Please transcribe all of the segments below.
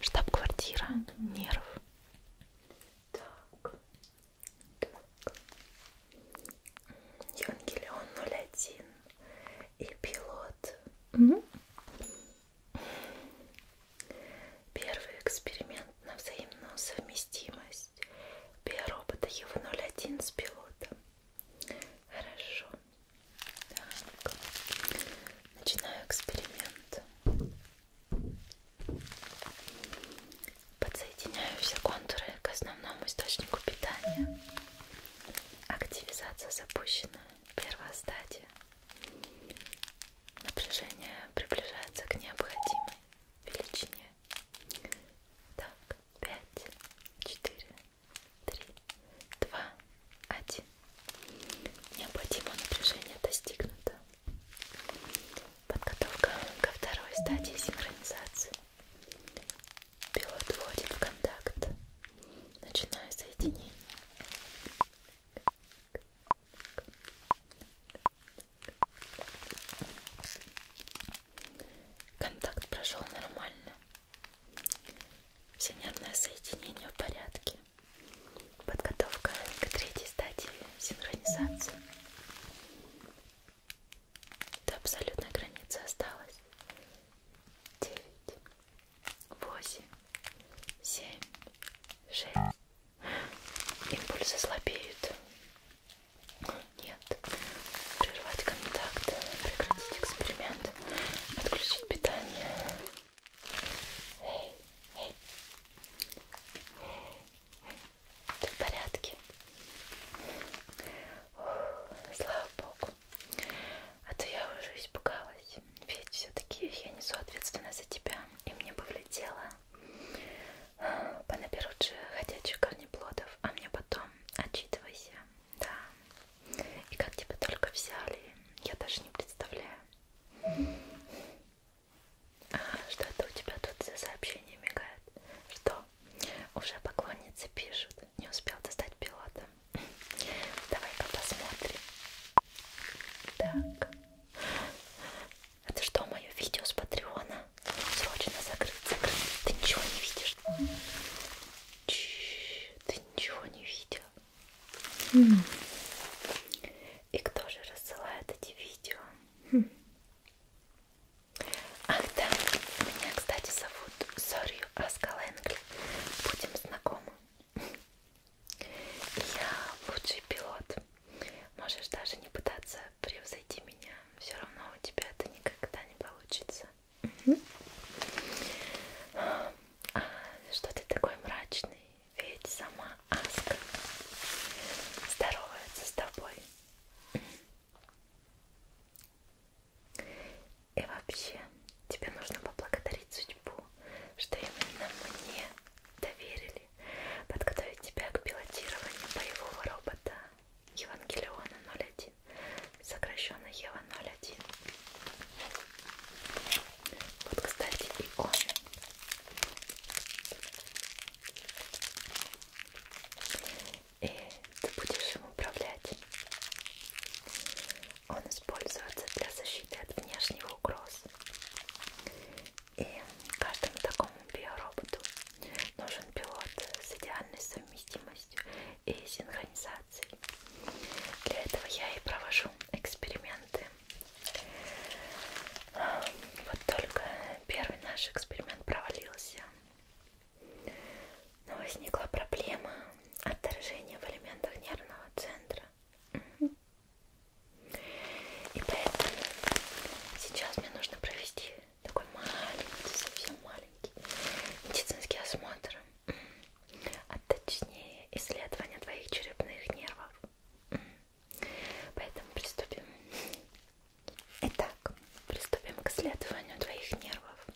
Штаб-квартира нерв. Так. так. Евангелион 01 и пилот. Угу. Первый эксперимент на взаимную совместимость биоробота Ева 01 с пилотом. Хорошо. Так. Начинаю эксперимент. Подсоединяю все контуры к основному источнику питания. Активизация запущена. Первая стадия. Напряжение приближается к необходимой величине. Так, пять, четыре, три, два, один. Необходимое напряжение достигнуто. Подготовка ко второй стадии синхронизации. Пилот входит в контакт. Начинаю соединение. Контакт прошел нормально. Все нервное соединение в порядке. Подготовка к третьей стадии синхронизации. До абсолютной границы осталось 9, 8, 7, 6. Импульсы слабеют. Нет. Прервать контакт. Прекратить эксперимент. Нет. Подключить питание. Эй, эй. Ты в порядке? Ух, слава богу. А то я уже испугалась. Ведь все-таки я несу ответственность за тебя. И мне бы влетело понаберут же ходячих корнеплодов. А мне потом отчитывайся. Да. И как тебя только взяли, я даже не представляю. А, что это у тебя тут за сообщение мигает? Что? Уже поклонницы пишут. Не успел достать пилота. Давай-ка посмотрим. Так. Это что, мое видео с Патреона? Срочно закрыть, закрыть. Ты ничего не видишь. Ч -ч -ч, ты ничего не видел. И кто же рассылает эти видео? Хм. Ах да, меня, кстати, зовут Сорью Аскаленгли. Будем знакомы. Я лучший пилот. Можешь даже не пытаться превзойти меня. Все равно у тебя это никогда не получится. Что ты такой мрачный? Ведь сама Аска здоровается с тобой. И вообще, тебе нужно поблагодарить судьбу, что именно мне доверили подготовить тебя к пилотированию боевого робота Евангелиона 01 сокращенно Ева 01. Вот, кстати, и он. И ты будешь им управлять. Он используется для защиты от внешних угроз. И каждому такому биороботу нужен пилот с идеальной совместимостью и синхронизацией манипуляций. Для этого я и провожу эксперименты. Вот только первый наш эксперимент провалился. Но возникла проблема отторжения в элементах нервного центра. И поэтому сейчас мне нужно провести такой маленький, совсем маленький медицинский осмотр а точнее исследование твоих черепных нервов. Поэтому приступим. Итак, приступим к исследованию твоих нервов.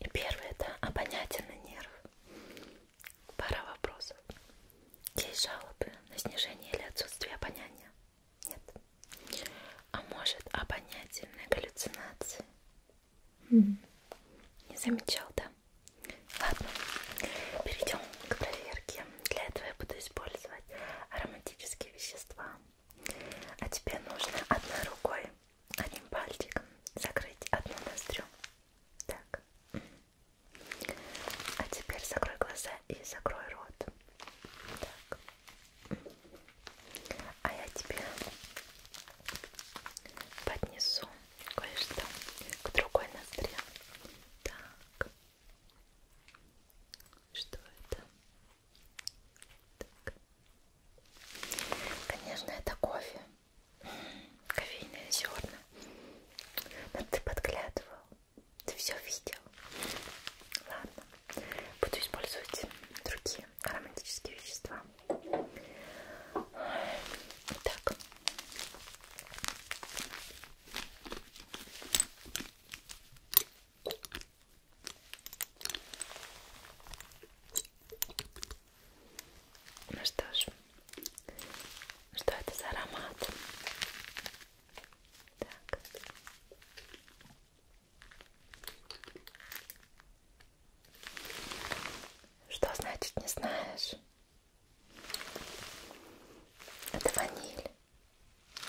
И первый это обонятельный нерв. Пара вопросов. Есть жалобы на снижение или отсутствие обоняния? Нет. А может обонятельные галлюцинации? Не замечал, да? Ладно, перейдем к проверке. Для этого я буду использовать ароматические вещества. А тебе нужно одной рукой, одним пальчиком закрыть одну ноздрю. Так. А теперь закрой глаза и закрой рот. Так. А я тебе поднесу кое-что к другой ноздре. Так. Что это? Так. Конечно, это кофе. Кофейные зерна. Но ты подглядывал. Ты все видел. Ладно. Буду использовать другие ароматические вещества. Итак. Ну что ж, что это за аромат? Так. Что значит не знаешь? Это ваниль.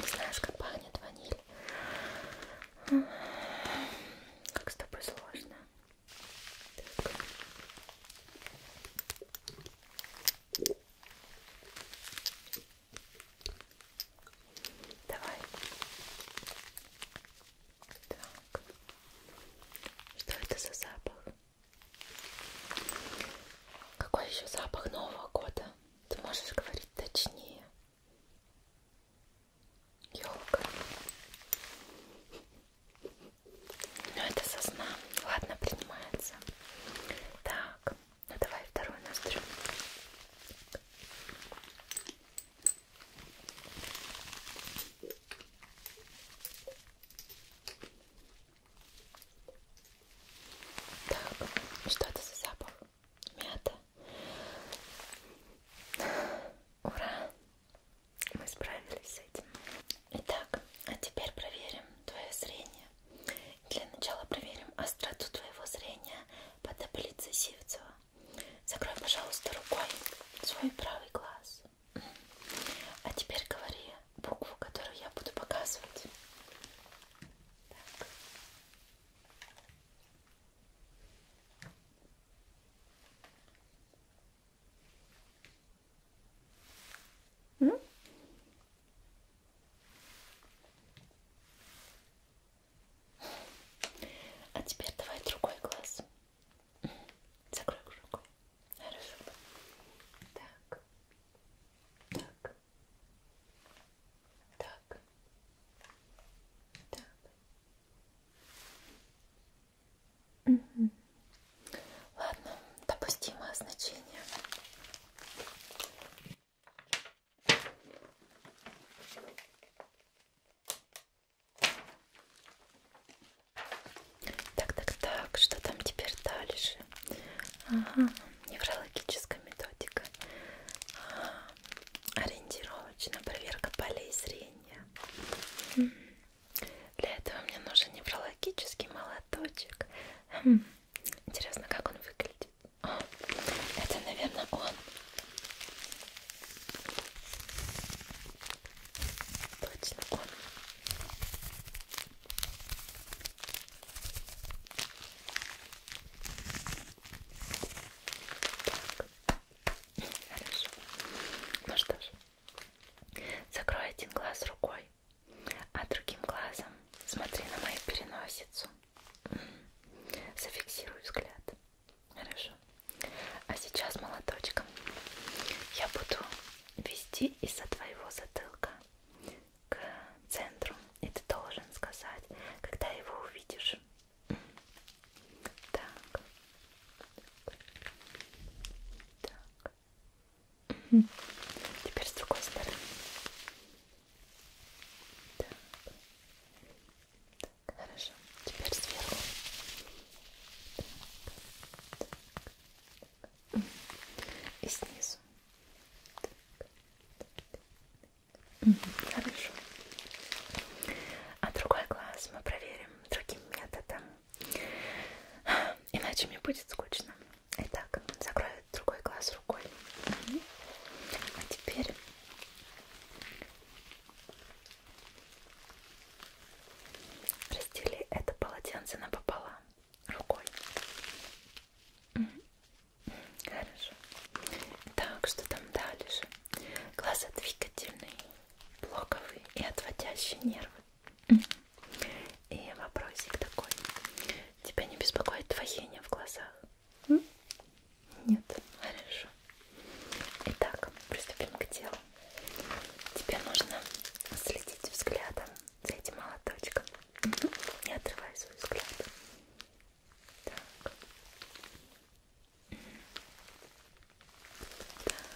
Не знаешь, как пахнет ваниль. Как с тобой сложно. Так. Давай. Так. Что это за запах? Какой еще запах Нового года? Ты можешь говорить точнее. Елка. Ну это сосна. Ладно, принимается. Так, ну давай вторую настрою. Так, что это за запах? Мята. Ура! Мы справились с этим. Итак, а теперь проверим твое зрение. Для начала проверим остроту твоего зрения по таблице Сивцева. Закрой, пожалуйста, рукой свой правый глаз. А теперь говори букву, которую я буду показывать. Так. М? Ну. А теперь давай другой глаз. Закрой рукой. Хорошо. Так. Так. Так. Так. Угу. Ладно, допустимое значение. Так, так, так, что там теперь дальше? Ага, неврологическая методика. Ага. Ориентировочная проверка полей зрения. Хм. Для этого мне нужен неврологический молоточек. Хм. Интересно, как он выглядит. О, а, это, наверное, он. Точно он. Так. Хорошо. Ну что ж, закрой один глаз рукой, а другим глазом смотри на мою переносицу. Зафиксируй взгляд. Хорошо. А сейчас молоточком я буду вести из-за твоего затылка к центру. И ты должен сказать, когда его увидишь. Так. Так. Теперь с другой стороны. Так. Так, хорошо. Теперь сверху. Так, так. И снизу. Так, так. Угу, хорошо. А другой глаз мы проверим другим методом. Иначе мне будет скучно. Итак, закрою другой глаз рукой. Угу. А теперь Раздели это полотенце напополам рукой. Хорошо. Так, что там дальше? Глаза двигательные, блоковые и отводящие нервы. И вопросик такой. Тебя не беспокоит двоение в глазах? Нет. Хорошо тоже. Итак, приступим к делу. Тебе нужно следить взглядом за этим молоточком. Угу. Не отрывай свой взгляд. Так. Так. Так. Так.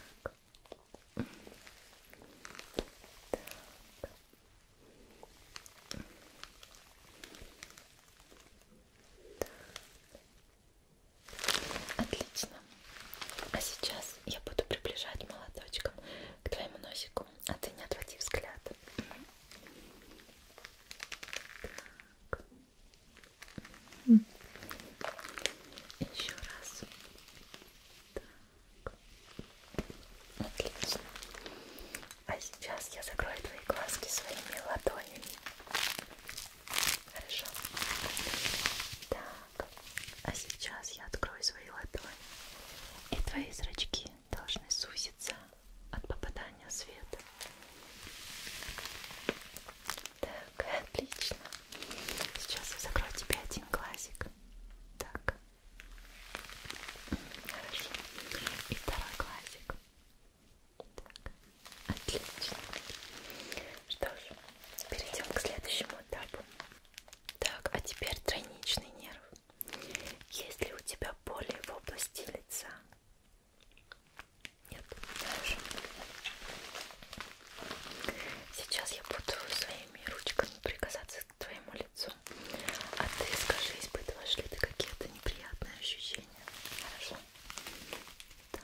Отлично. А сейчас я буду приближать молоточком к твоему носику, а ты не отводи взгляд. Так. Еще раз. Так. Отлично. А сейчас я закрою твои глазки своими ладонями. Хорошо. Так, а сейчас я открою свои ладони, и твои зрачки должны сузиться от попадания света. Так, отлично. Сейчас я закрою тебе один глазик. Так. Хорошо. И второй глазик. Так. Отлично. Что ж, перейдем к следующему этапу. Так, а теперь тройничный нерв. Есть ли у тебя боли в области лица? Нет, хорошо. Сейчас я буду своими ручками прикасаться к твоему лицу. А ты скажи, испытываешь ли ты какие-то неприятные ощущения? Хорошо. Так.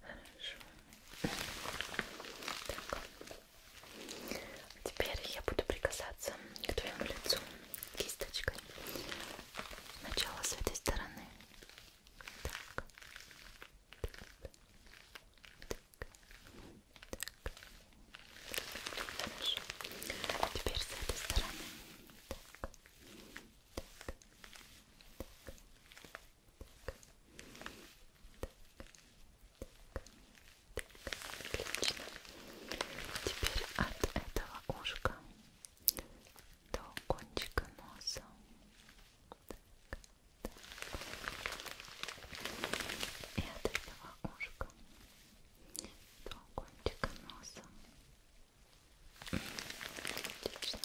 Хорошо. Так. Теперь я буду прикасаться к твоему лицу кисточкой. Сначала с этой стороны. Так. Так. Так. Хорошо. Теперь с этой стороны. Так. Так. Так. Так так, так, так, отлично. Теперь от этого ушка до кончика носа. Так, так. И от этого ушка до кончика носа. Отлично.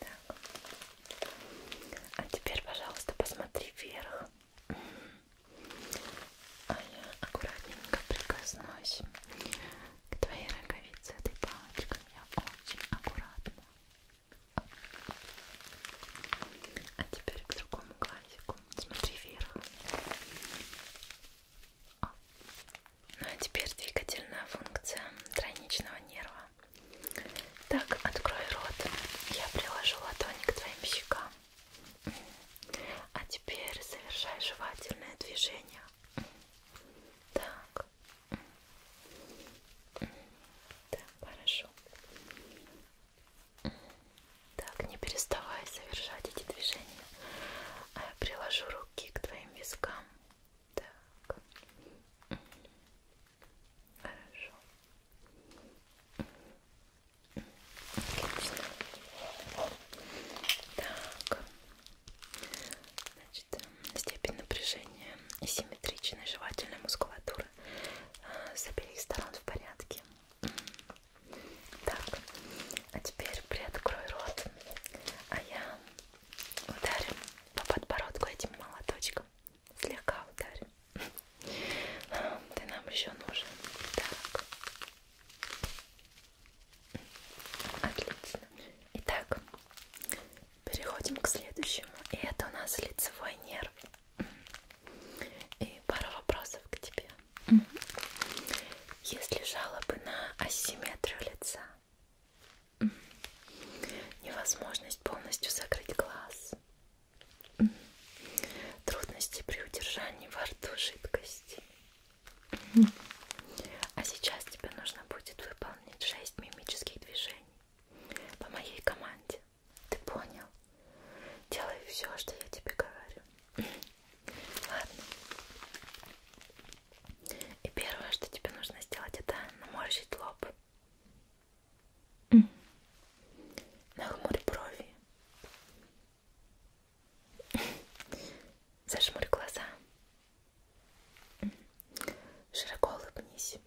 Да, так. А теперь, пожалуйста, посмотри вверх. А я аккуратненько прикоснусь к твоей роговице этой палочкой. Я очень аккуратно. А теперь к другому глазику. Смотри вверх. Ну а теперь двигательная функция тройничного нерва. Так, открой рот. Я приложу ладони к твоим щекам. А теперь совершай жевательное движение. Так. Так, хорошо. Так, не переставай совершать эти движения. А я приложу руки к твоим вискам. Так. Хорошо. Отлично. Так. Значит, степень напряжения и симметричная жевательная мускулатура э, с обеих сторон в порядке. Так, а теперь приоткрой рот, а я ударю по подбородку этим молоточком немножко, слегка ударим. Ты нам еще нужен. Так. Отлично. Итак, переходим к следующему. И это у нас лицевой нерв. И пара вопросов к тебе. Есть ли жалобы на асимметрию лица? невозможность полностью закрыть глаз, трудности при удержании во рту жидкости. А сейчас тебе нужно будет выполнить 6 мимических движений по моей команде. Ты понял? Делай все, что я тебе говорю. Ладно. И первое, что тебе нужно сделать, это наморщить лоб. Нахмурь брови. Зажмурь глаза. Широко улыбнись.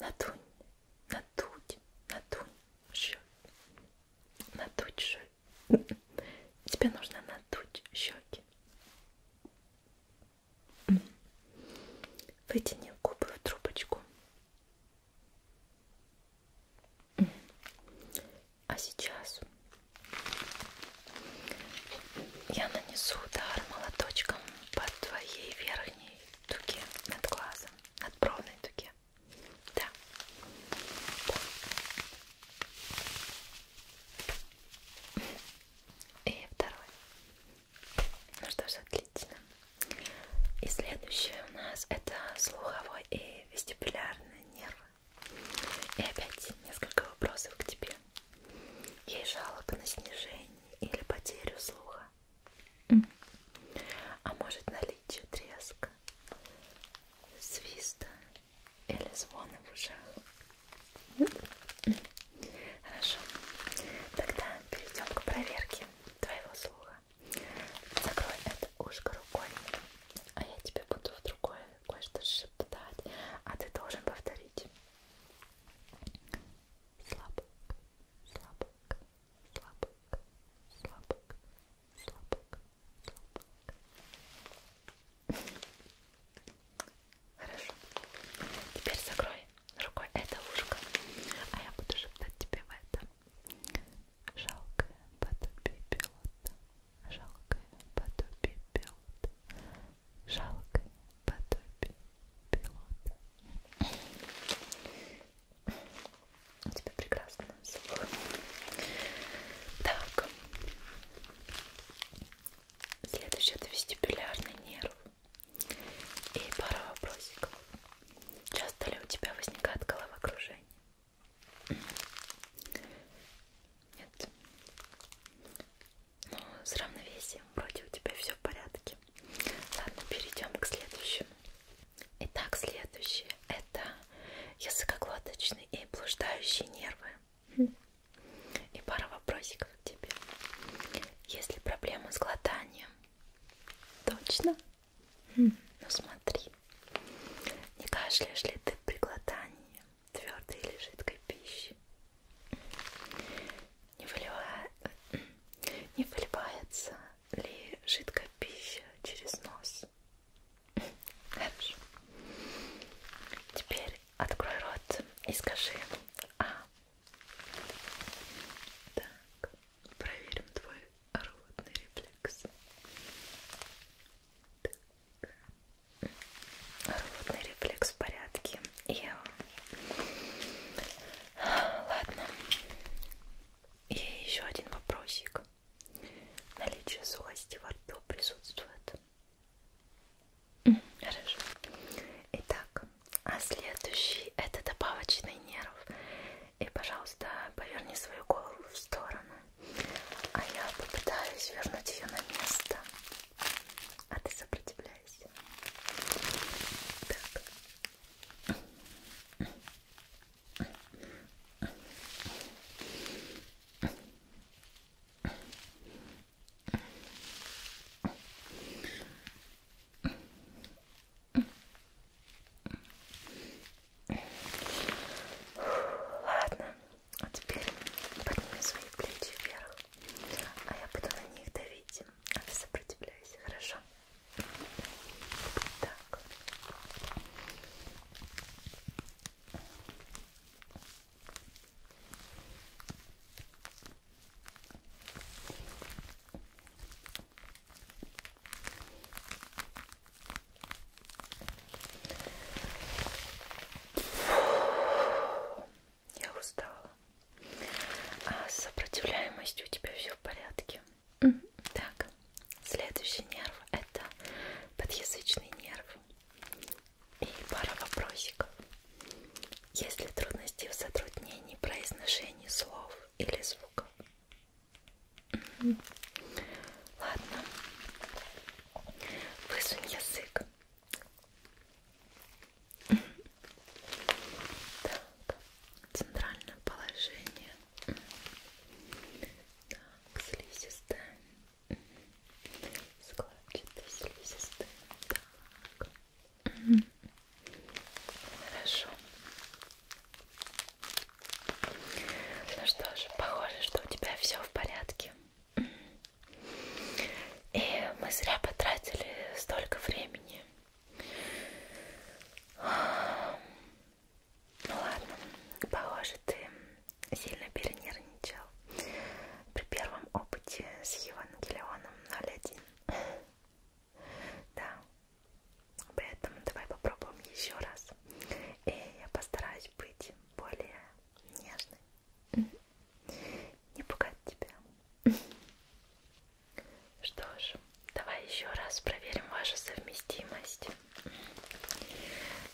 Надунь, надуть, надунь, щеки. Надуть щеки. Тебе нужно надуть щеки. Вытяни губы в трубочку. А сейчас я нанесу удар молоточком по твоей верхней дуге над глазом, над бровной дуге. Да. И второй. Ну что ж, отлично. И следующее у нас это слуховой и вестибулярный нервы. И опять несколько вопросов к тебе. Есть жалоба на снижение или потерю слуха? Mm. А может наличие треска, свиста или звона в ушах? Нет? Хорошо. Тогда перейдем к проверке твоего слуха. Закрой это ушко рукой, а я тебе буду в другое кое-что шептать, а ты должен повторить. Слабок, слабок, слабок, слабок, слабок, слабок. Хорошо. Теперь закрой рукой это ушко, а я буду шептать тебе в это. Жалкое подобие пилота, жалкое подобие пилота, жалкое подобие пилота. У тебя прекрасно слух. Так. Следующий это вестибулярный нерв. И пара вопросиков. Часто ли у тебя возникает головокружение? Нет. Ну, с равновесием вроде у тебя все в порядке. Ладно, перейдем к следующему. Итак, следующее это языкоглоточные и блуждающие нервы. И пара вопросиков к тебе. Есть ли проблемы с глотанием? Точно? Хм. Ну смотри. Не кашляешь ли ты при глотании твердой или жидкой пищи? Не, выливая... Не выливается ли жидкая пища через нос? Хорошо. Теперь Открой рот и скажи А. Так, проверим твой ротный рефлекс. Так. Ротный рефлекс в порядке. Я... Ладно. И еще один вопросик. Наличие сухости во рту присутствует? Хорошо. Итак, а следующий это добавочный нерв. И, пожалуйста, поверни свою голову в сторону. А я попытаюсь вернуть ее на место. А ты сопротивляйся. Так. Ладно, а теперь подними свои плечи вверх, а я буду на них давить, а ты сопротивляйся, хорошо? Так. Я устала. А с сопротивляемостью у тебя все в порядке. Mm -hmm. Так, следующий нерв это подъязычный нерв. И пара вопросиков. Есть ли трудности в затруднении произношении слов или звуков? Ладно. Высунь язык. Так, центральное положение. Так, слизистая. Складчато-слизистым. Так. Угу. Хорошо. Ну что ж, похоже, что у тебя все в порядке. И мы зря потратили столько времени. Ну ладно, похоже, ты сильно перенервничал при первом опыте с Евангелионом 0.1. Да. Поэтому давай попробуем еще раз. И я постараюсь быть более нежной. Не пугать тебя. Что ж, давай еще раз проверим вашу совместимость.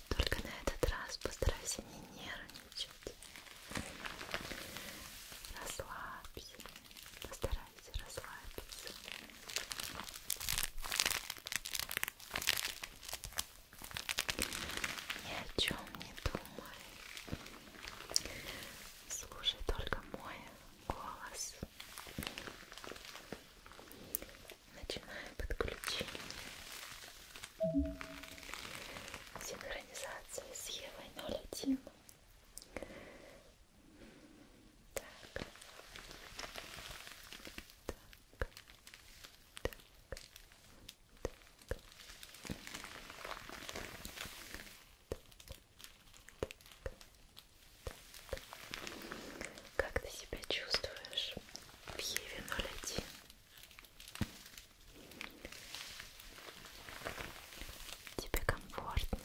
Только на этот раз постарайся не нервничать. Расслабься, постарайся расслабиться. Ни о чем не думай. Слушай только мой голос. Начинаю подключение Синхронизация с Евой 01. Так. Так. Так. Так. Как ты себя чувствуешь в Еве 01? Тебе комфортно.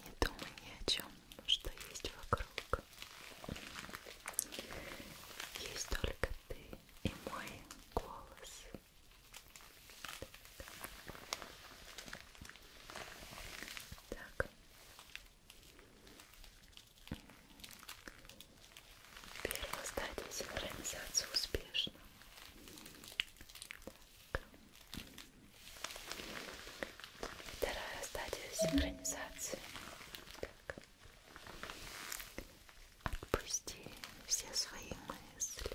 Не думай ни о чем, что есть вокруг. Есть только ты и мой голос. Так. Первая стадия синхронизации успешна. Так. Вторая стадия синхронизации. Так. Отпусти все свои мысли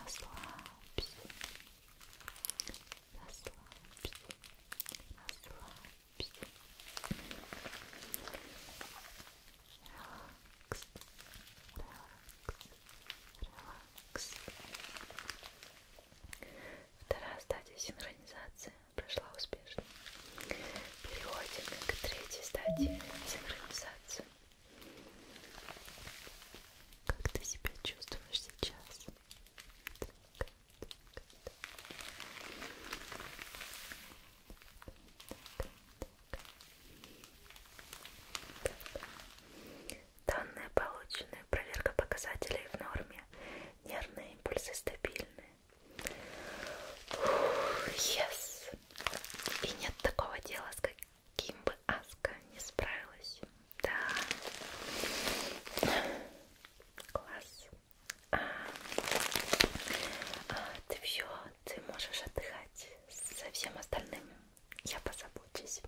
расслабься, расслабься, расслабься. Релакс, релакс, релакс. Вторая стадия синхронизации прошла успешно. Переходим к третьей стадии синхронизации. Как ты себя чувствуешь сейчас? Так, так, так. Данные получены, проверка показателей в норме, нервные импульсы стабильны. Yes. И нет такого дела, с, как... Ким бы Аска не справилась. Да. Класс. А, а, ты все, ты можешь отдыхать со всем остальным. Я позабочусь.